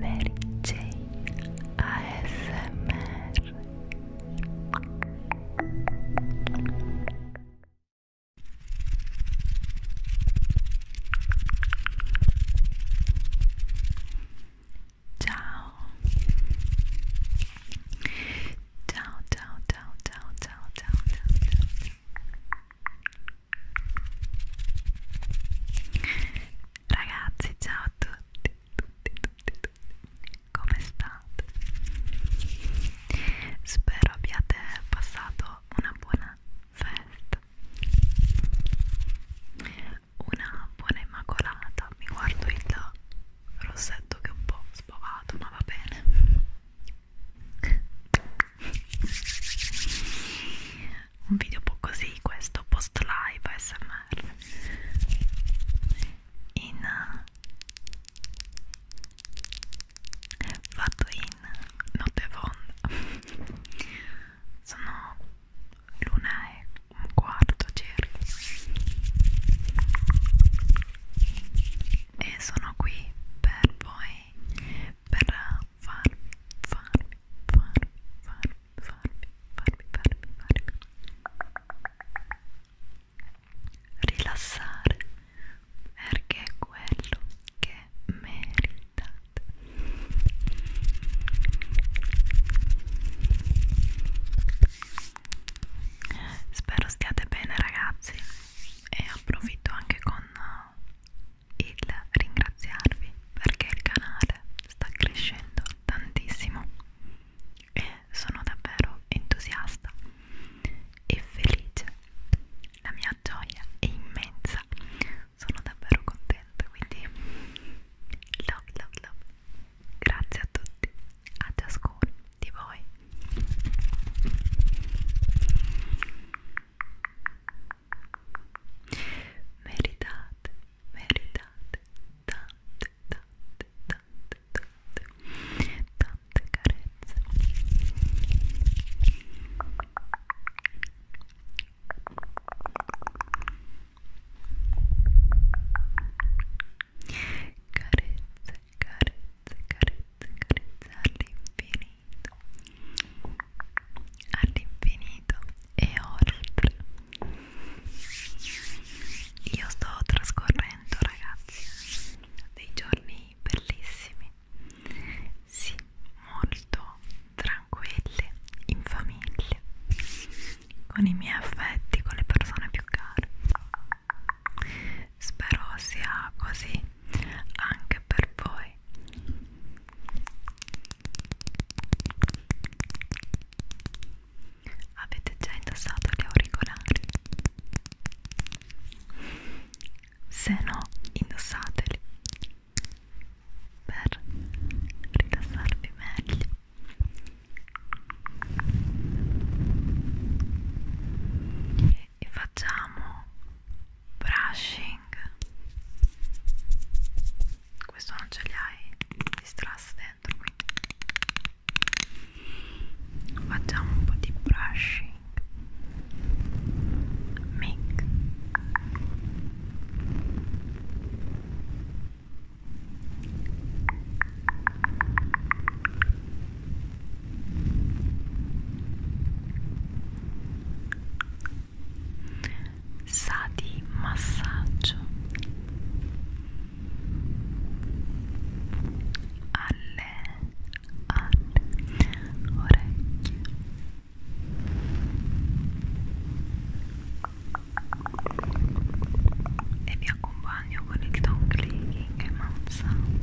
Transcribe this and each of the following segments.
Mary Jane ASMR Ciao Ciao ciao ciao ciao ciao ciao Ragazzi, ciao a tutti, tutti, tutti, tutti. Come state? Spero abbiate passato una buona festa. Una buona immacolata. Mi guardo il rossetto che è un po' spovato, ma va bene un video un po' così, questo post live ASMR in fatto in notte fonda sono l'una e un quarto circa e sono qui per voi per farmi, farmi, farmi, farmi, farmi, farmi, farmi, farmi, rilassare perché è quello che meritate. Spero stiate bene ragazzi e approfitto anche con il ringraziarvi perché il canale sta crescendo tantissimo e sono davvero entusiasta e felice la mia gioia è immensa sono davvero contenta quindi love love love grazie a tutti a ciascuno di voi meritate, meritate tante, tante, tante, tante, tante carezze carezze, carezze, carezze all'infinito all'infinito e oltre io sto trascorrendo ragazzi dei giorni bellissimi sì molto tranquilli in famiglia con i miei affetti con le persone più care spero sia così anche per voi avete già indossato gli auricolari? se no indossateli per rilassarvi meglio e facciamo brushing questo non ce li hai di strass dentro quindi facciamo un po' di brushing make sa di massaggio alle, alle orecchie e vi accompagno con il tongue clicking e mouth sound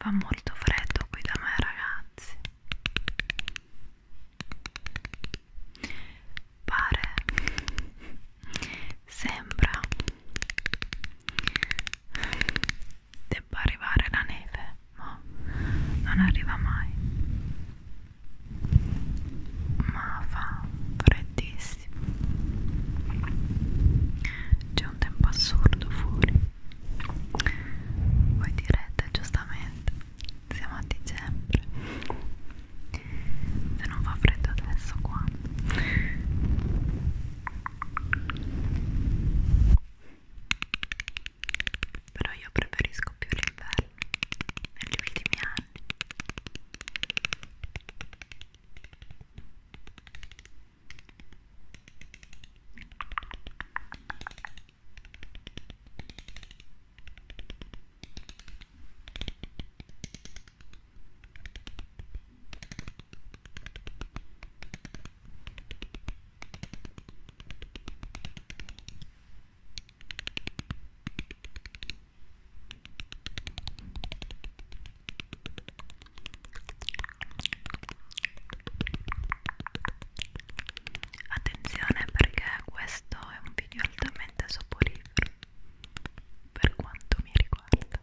Fa molto freddo qui da me, ragazzi. Pare, sembra debba arrivare la neve ma non arriva mai ma fa freddissimo c'è un tempo assurdo fuori voi direte giustamente siamo a dicembre se non fa freddo adesso qua però io preferisco più l'inverno negli ultimi anni Attenzione perché questo è un video altamente soporifero per quanto mi riguarda.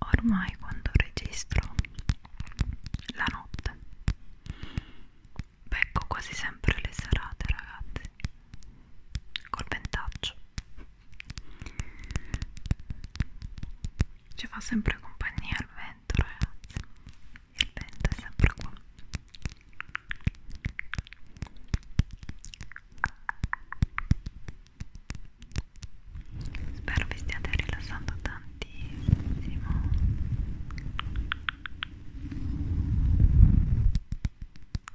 Ormai quando registro la notte becco quasi sempre le serate, ragazzi, col ventaccio ci fa sempre compagnia il vento ragazzi il vento è sempre qua spero vi stiate rilassando tantissimo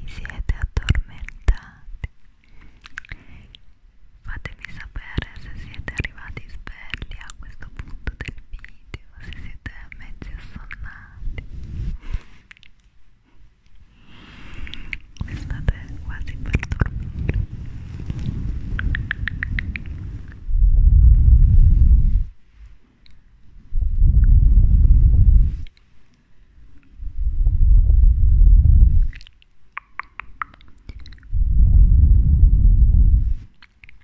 Vi siete addormentati? Fatemi sapere se siete arrivati svegli a questo punto del video, se siete mezzi assonnati mi state quasi per dormire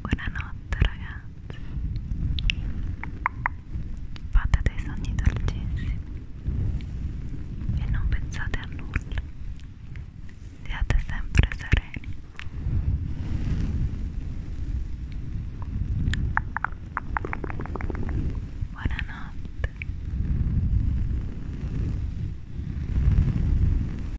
Buonanotte ragazzi Fate dei sogni dolcissimi E non pensate a nulla Siate sempre sereni Buonanotte